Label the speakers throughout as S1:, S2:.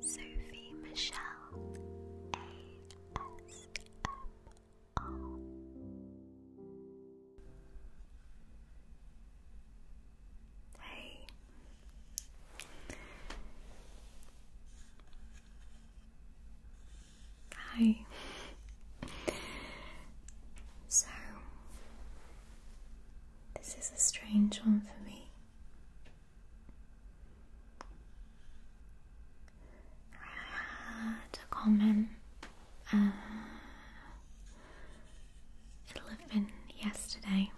S1: Sophie Michelle ASMR. Hey. Hi. So, this is a strange one for me. It's a common uh, uh yesterday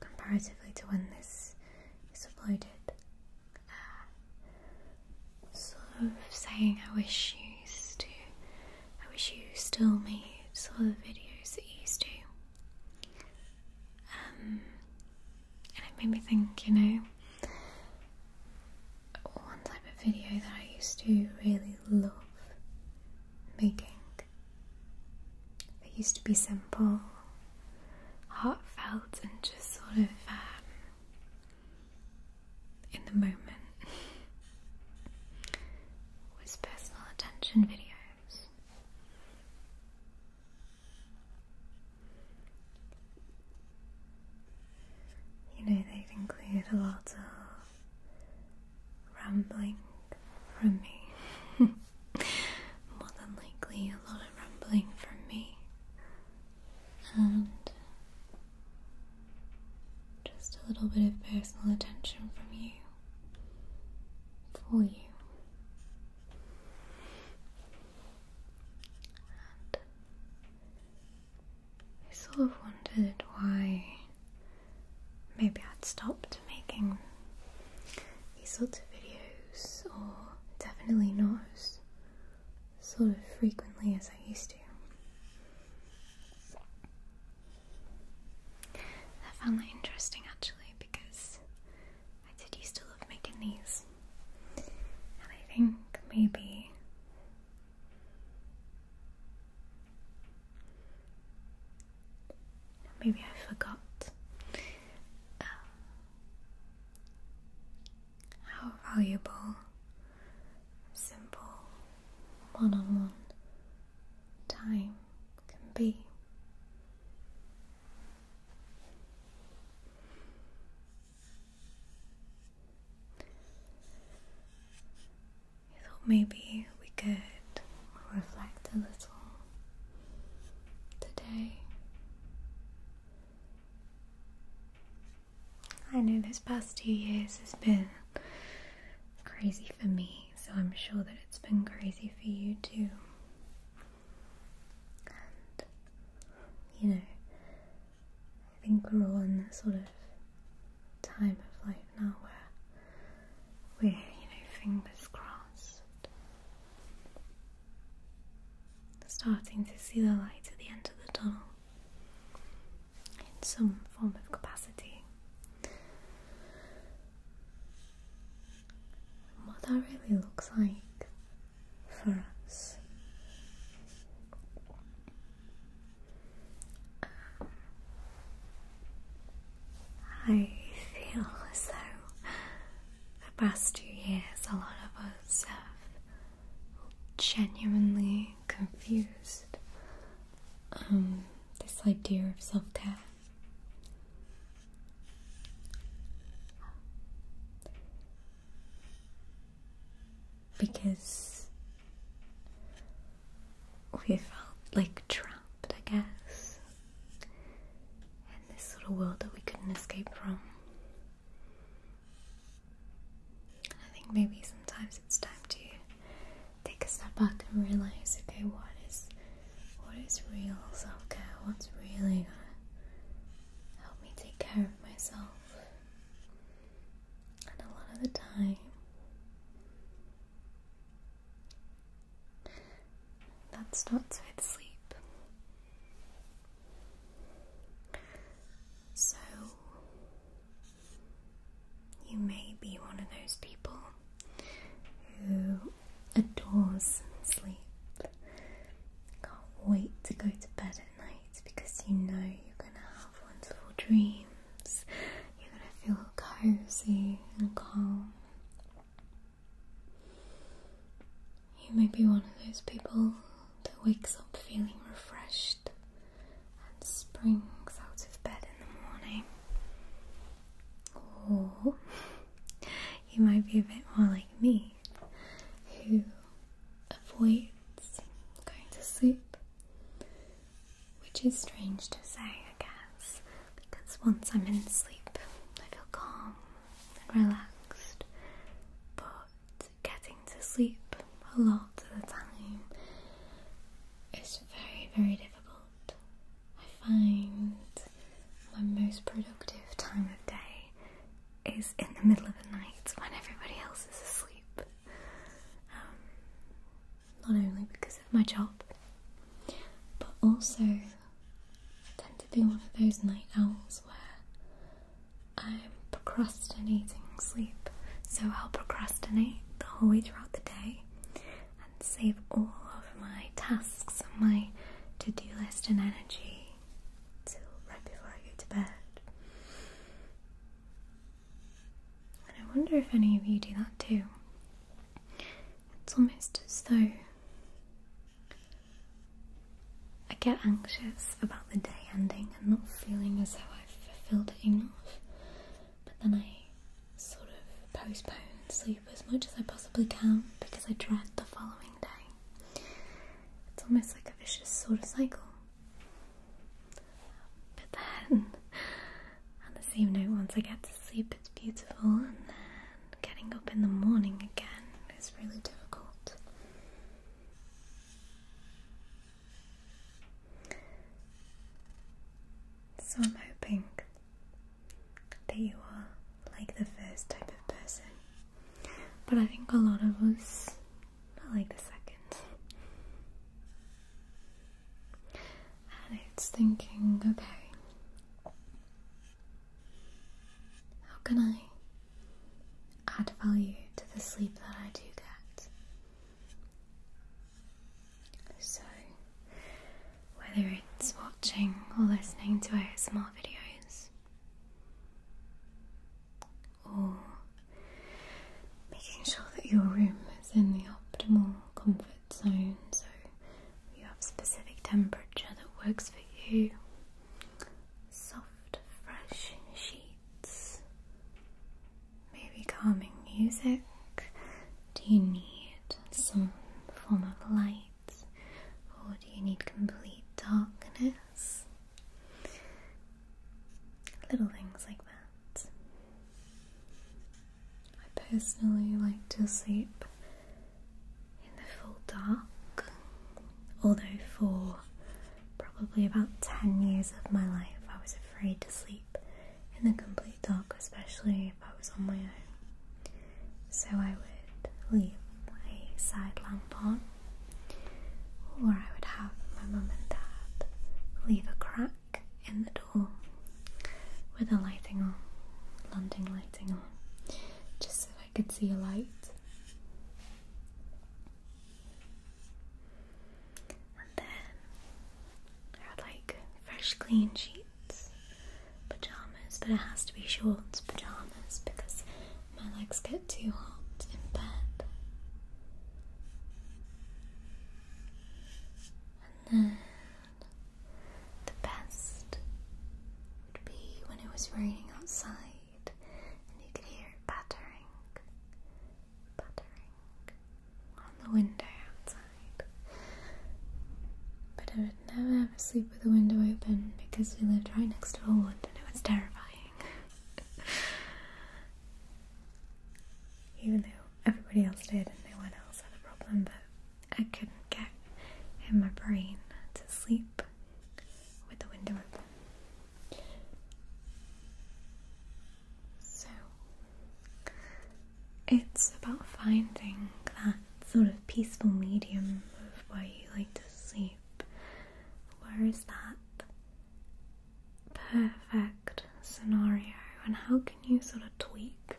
S1: comparatively to when this is uploaded. Uh, sort of saying I wish you to I wish you still made some of the videos that you used to. Um, and it made me think, you know, one type of video that I used to really love making. It used to be simple, heartfelt, and just sort of um, in the moment. with personal attention videos. You know, they include a lot of rambling from me. More than likely, a lot of rambling from me. And just a little bit of personal attention from you. For you. And I sort of wondered why maybe I'd stopped making these sorts of videos, or definitely not as sort of frequently as I used to. I found that interesting actually because I did used to love making these, and I think maybe maybe I forgot um, how valuable simple -one time can be. I thought maybe we could reflect a little today. I know this past two years has been crazy for me, so I'm sure that it's been crazy for you too. And, you know, I think we're all in that sort of time of life now where we're, you know, fingers crossed, starting to see the light at the end of the tunnel in some form of capacity. what that really looks like for us um, I feel as though the past two years a lot of us have genuinely confused um, this idea of self care. Because we felt like trapped, I guess, in this little world that we couldn't escape from. I think maybe sometimes it's time to take a step back and realize okay what is what is real self care, what's really gonna help me take care of myself. And a lot of the time that starts with sleep. So you may be one of those people who adores sleep, can't wait to go to bed at night because you know you're going to have wonderful dreams, you're going to feel cozy and calm. You may be one of those people that wakes up feeling refreshed and springs out of bed in the morning. Or you might be a bit more like me, who avoids going to sleep, which is strange to say, I guess, because once I'm in sleep, I feel calm and relaxed. But getting to sleep a lot of the time is very, very difficult. I find my most productive time of day is in the middle of the night when everybody else is asleep. Um, not only because of my job, but also I tend to be one of those night owls where I'm procrastinating sleep. So I'll procrastinate the whole way throughout the day and save all of my tasks and my to do list and energy till right before I go to bed. And I wonder if any of you do that too. It's almost as though I get anxious about the day ending feeling and not feeling as though I've fulfilled it enough. But then I sort of postpone sleep as much as I possibly can because I dread the following day. It's almost like a vicious sort of cycle. But then, on the same note, once I get to sleep, it's beautiful, and then getting up in the morning again is really difficult. So I'm hoping that you are like the first type of person, but I think a lot of us are like the second. And it's thinking, okay, how can I add value to the sleep that I do get? So, whether it's watching or listening to our small videos, or making sure that your room is in the optimal comfort zone so you have specific temperature that works for you, soft, fresh sheets maybe calming music? Do you need some form of light or do you need complete darkness? Little things like that. I personally like to sleep in the full dark, although for probably about 10 years of my life, I was afraid to sleep in the complete dark, especially if I was on my own. So I would leave a side lamp on, or I would have my mum and dad leave a crack in the door with the lighting on, London lighting on, just so I could see a light. And then there like fresh clean sheets, pajamas, but it has to be shorts pajamas because my legs get too hot in bed. And then the best would be when it was raining outside and you could hear it pattering pattering on the window outside. But I would never ever sleep with the window open because we lived right next to a wood and it was terrifying. Even though everybody else did and no one else had a problem, but I couldn't get in my brain to sleep with the window open. So it's about finding that sort of peaceful medium of where you like to sleep. Where is that perfect scenario, and how can you sort of tweak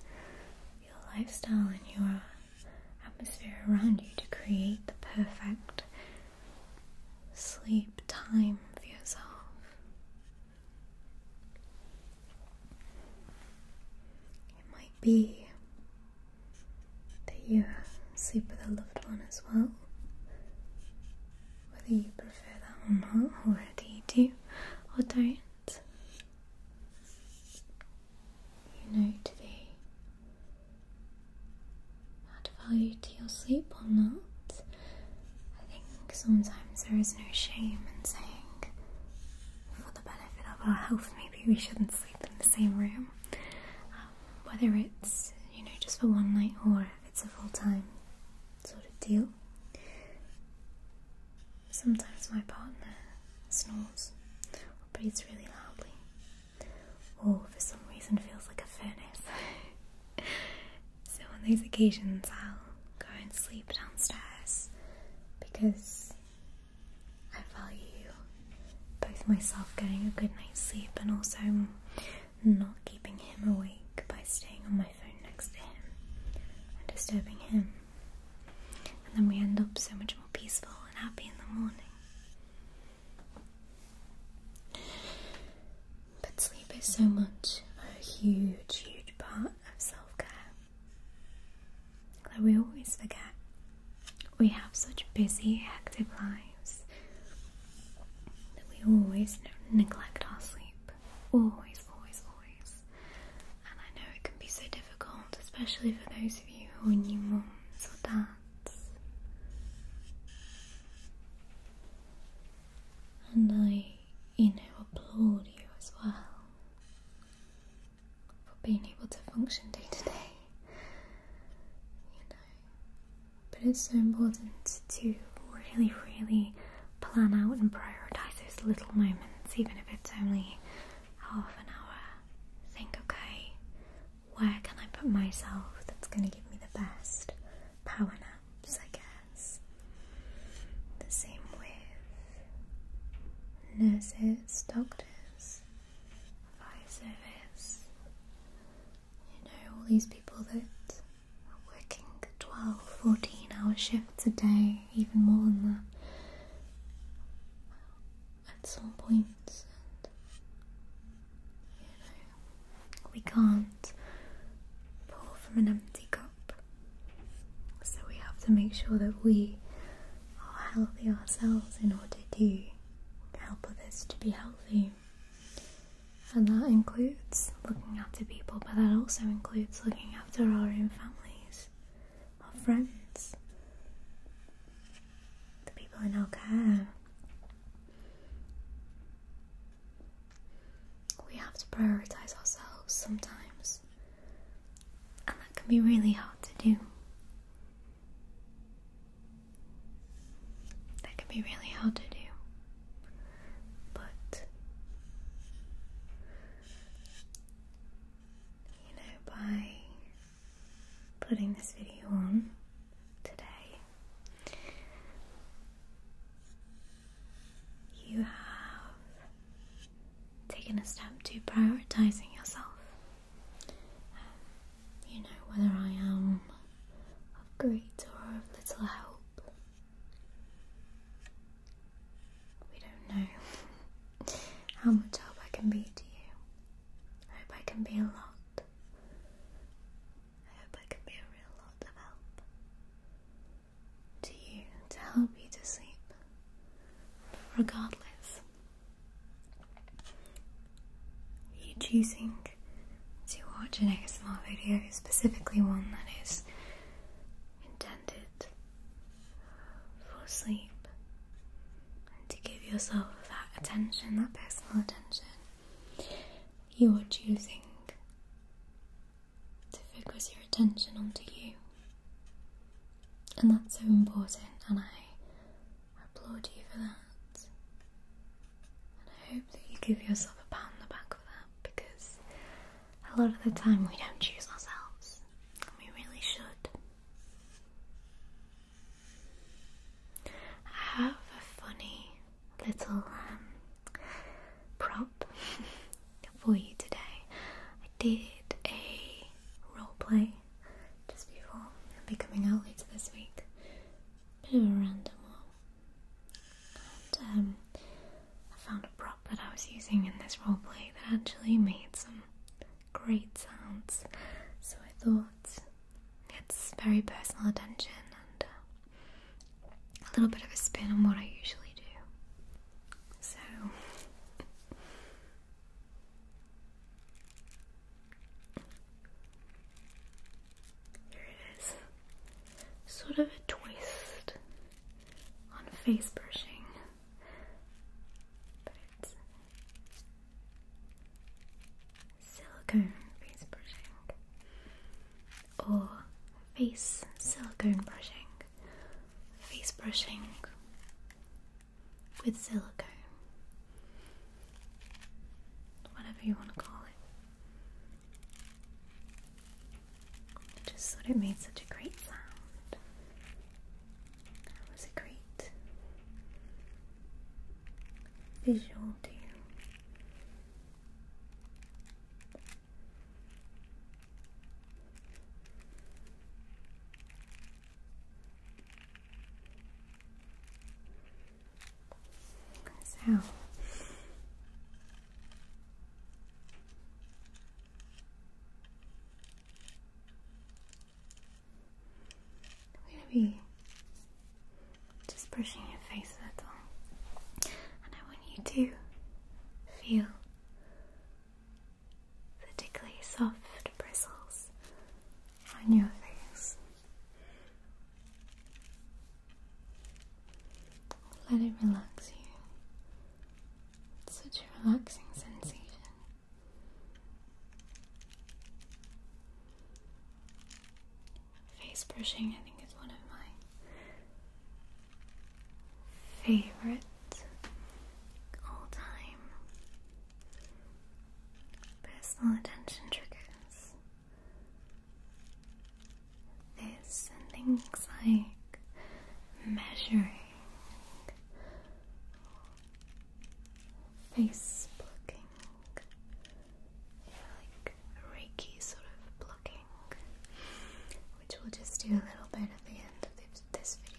S1: your lifestyle and your atmosphere around you to create the perfect sleep time for yourself. It might be that you sleep with a loved one as well, whether you prefer that or not, or whether you do or don't. You know today add value to your sleep or not. I think sometimes there is no shame in saying, for the benefit of our health, maybe we shouldn't sleep in the same room. Um, whether it's you know just for one night or it's a full time sort of deal. Sometimes my partner snores or breathes really loudly, Oh, for some reason feels like a furnace. so on these occasions I'll go and sleep downstairs because I value both myself getting a good night's sleep and also not keeping him awake by staying on my phone next to him and disturbing him. And then we end up so much more peaceful and happy in the morning. But sleep is so much a huge, huge part of self care that we always forget. We have such busy, hectic lives that we always neglect our sleep. Always, always, always. And I know it can be so difficult, especially for those of you who are new moms or and I, you know, applaud you as well for being able to function day to day. You know, but it's so important to really, really plan out and prioritize those little moments, even if it's only half an hour. Think, okay, where can I put myself that's going to give me the best power naps, I guess. The same with nurses, doctors, fire service, you know, all these people that are working 12, 14 hour shifts a day, even more than that at some point and we can't pour from an empty cup. So we have to make sure that we are healthy ourselves in order to help others to be healthy. And that includes looking after people, but that also includes looking after our own families, our friends, the people in our care, we have to prioritize ourselves sometimes, and that can be really hard to do. That can be really hard to do. But, you know, by putting this video on today. You have taken a step to prioritizing yourself. Um, you know, whether I am of great or of little help, we don't know how much help I can be to you. I hope I can be a lot. I hope I can be a real lot of help to you to help you to sleep, regardless. You choosing to watch an ASMR video, specifically one that is intended for sleep, to give yourself that attention, that personal attention you are choosing to focus your attention onto you. And that's so important, and I applaud you for that. And I hope that you give yourself a pat on the back for that because a lot of the time we don't choose ourselves, and we really should. I have a funny little um, prop for you today. I did a role play just before. It'll be coming out later this week. Bit of a random one. And um, I found a prop that I was using in this role play that actually made some great sounds. So I thought it's very personal attention and uh, a little bit of a spin on what I usually do. So. Here it is. Sort of a twist on face brushing silicone face brushing or face silicone brushing, face brushing with silicone, whatever you want to call it. just thought it made such a great sound. That was a great visual to So I'm going to be just brushing your face a little, and I want you to feel the particularly soft bristles on your face. Let it relax you. such a relaxing sensation. Face brushing, I think, is one of my favorite all time personal attention triggers. This and things like measuring face plucking, like Reiki sort of plucking, which we'll just do a little bit at the end of this video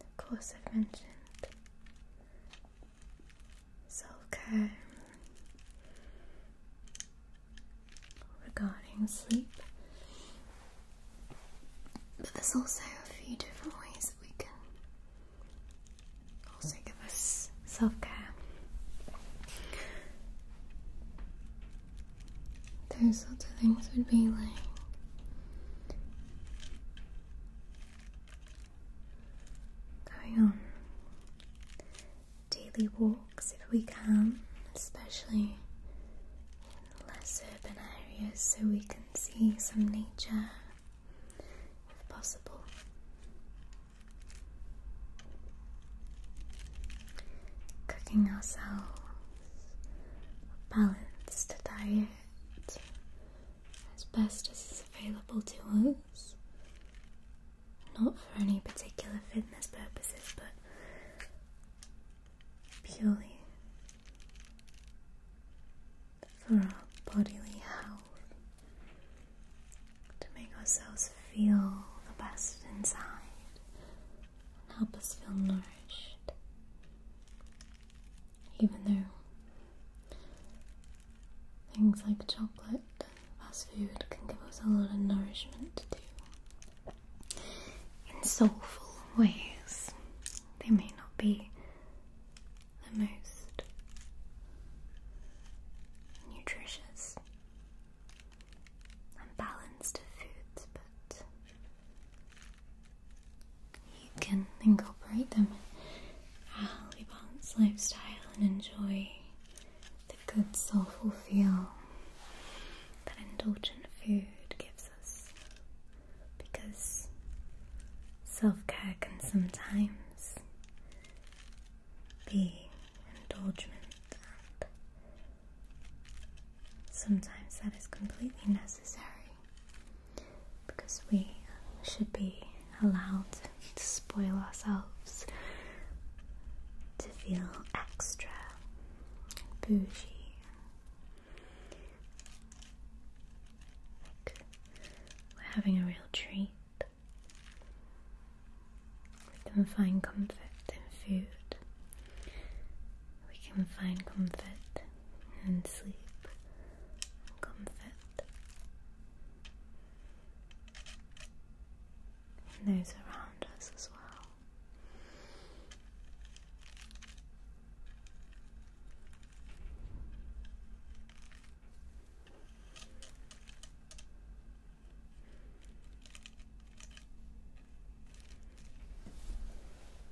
S1: of course I've mentioned self-care regarding sleep. But there's also a few different ways that we can also give us self-care. Those sorts of things would be like Going on daily walks if we can, especially in less urban areas, so we can see some nature if possible. Cooking ourselves balanced diet it as best as is available to us. Not for any particular fitness purposes, but purely for our bodily health, to make ourselves feel the best inside help us feel nourished, even though things like chocolate and fast food can give us a lot of nourishment too. In soulful ways, they may not be the most nutritious and balanced of foods, but you can incorporate them in your balanced lifestyle and enjoy the good, soulful feel that indulgent food gives us because self care can sometimes be indulgent and Sometimes that is completely necessary because we should be allowed to spoil ourselves, to feel extra, bougie, like we're having a real treat. We can find comfort in food. We can find comfort and sleep and comfort. And those around us as well.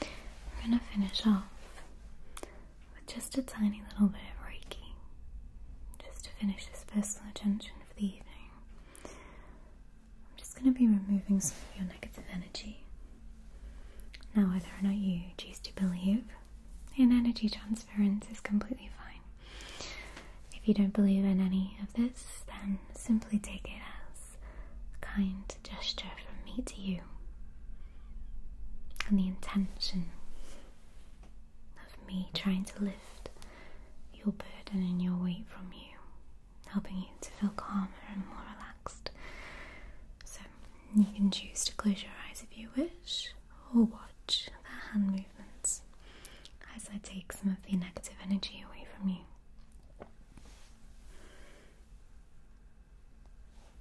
S1: We're going to finish off with just a tiny little bit of Reiki, just to finish this personal attention for the evening. I'm just going to be removing some of your negative energy. Now, whether or not you choose to believe in energy transference is completely fine. If you don't believe in any of this, then simply take it as kind gesture from me to you, and the intention of me trying to lift your burden and your weight from you, helping you to feel calmer and more relaxed. So, you can choose to close your eyes if you wish, or watch the hand movements as I take some of the negative energy away from you.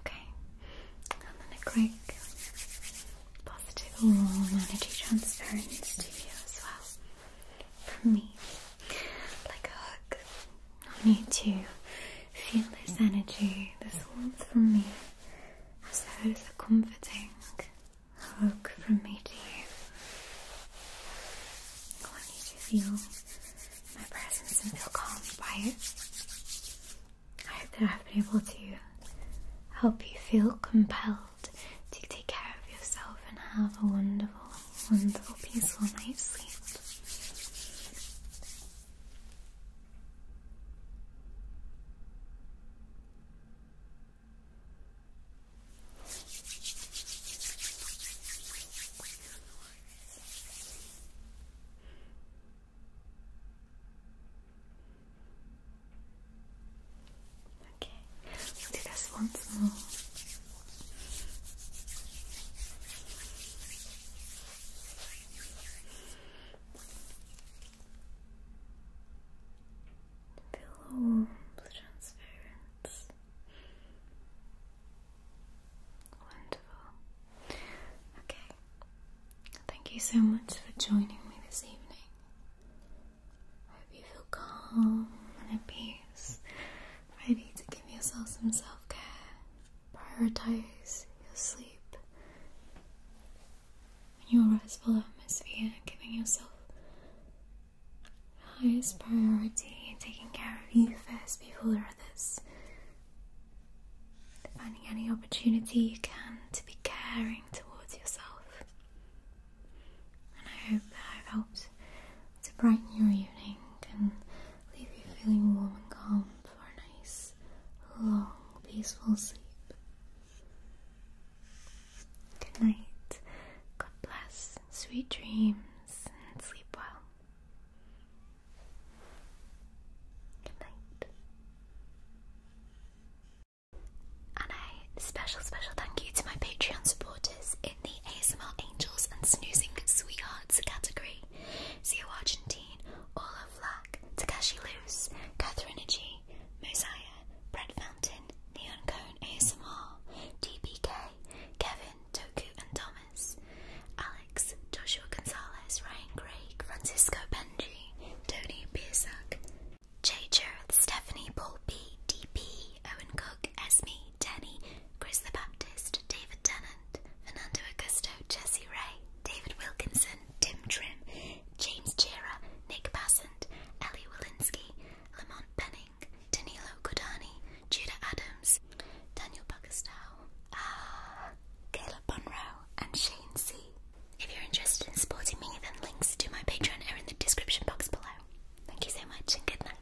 S1: Okay, and then a quick positive energy transference to you as well. From me, like a hug I need to feel this energy, this warmth from me, as though it's a comforting hug from me to you. I want to feel my presence and feel calmed by it. I hope that I've been able to help you feel compelled to take care of yourself and have a wonderful, wonderful, peaceful night's sleep. Okay, we do this once more. Feel warm, transparent. Wonderful. Okay. Thank you so much for joining me this evening. I hope you feel calm and at peace, ready to give yourself some self care. Prioritize your sleep. And your restful atmosphere, and giving yourself highest priority, taking care of you first before others. Finding any opportunity you can to be caring towards yourself. And I hope that I've helped to brighten your evening leave you feeling warm and calm for a nice, long, peaceful sleep. Good night, God bless, sweet dreams, and sleep well. Good night. And a special, special thank you to my Patreon supporters in the ASMR Angels and Snoozing Sweethearts category. Curry, Zio Argentine, Orla Flack, Takashi Luce, Catherine G, Mosiah, Brett Fountain, Neon Cone ASMR, DBK, Kevin, Toku and Thomas, Alex, Joshua Gonzalez, Ryan Craig, Francisco Benji, Tony Piersack, Jay Jareth, Stephanie Paul P D P Owen Cook, Esme, Danny, Denny, Chris the Baptist, David Tennant, Fernando Augusto, Jesse Ray, David Wilkinson, Tim Trim, James Chira, Nick Passant, Ellie Walensky, Lamont Penning, Danilo Godani, Judah Adams, Daniel Buckerstow, ah, Caleb Monroe, and Shane C. If you're interested in supporting me, then links to my Patreon are in the description box below. Thank you so much and good night.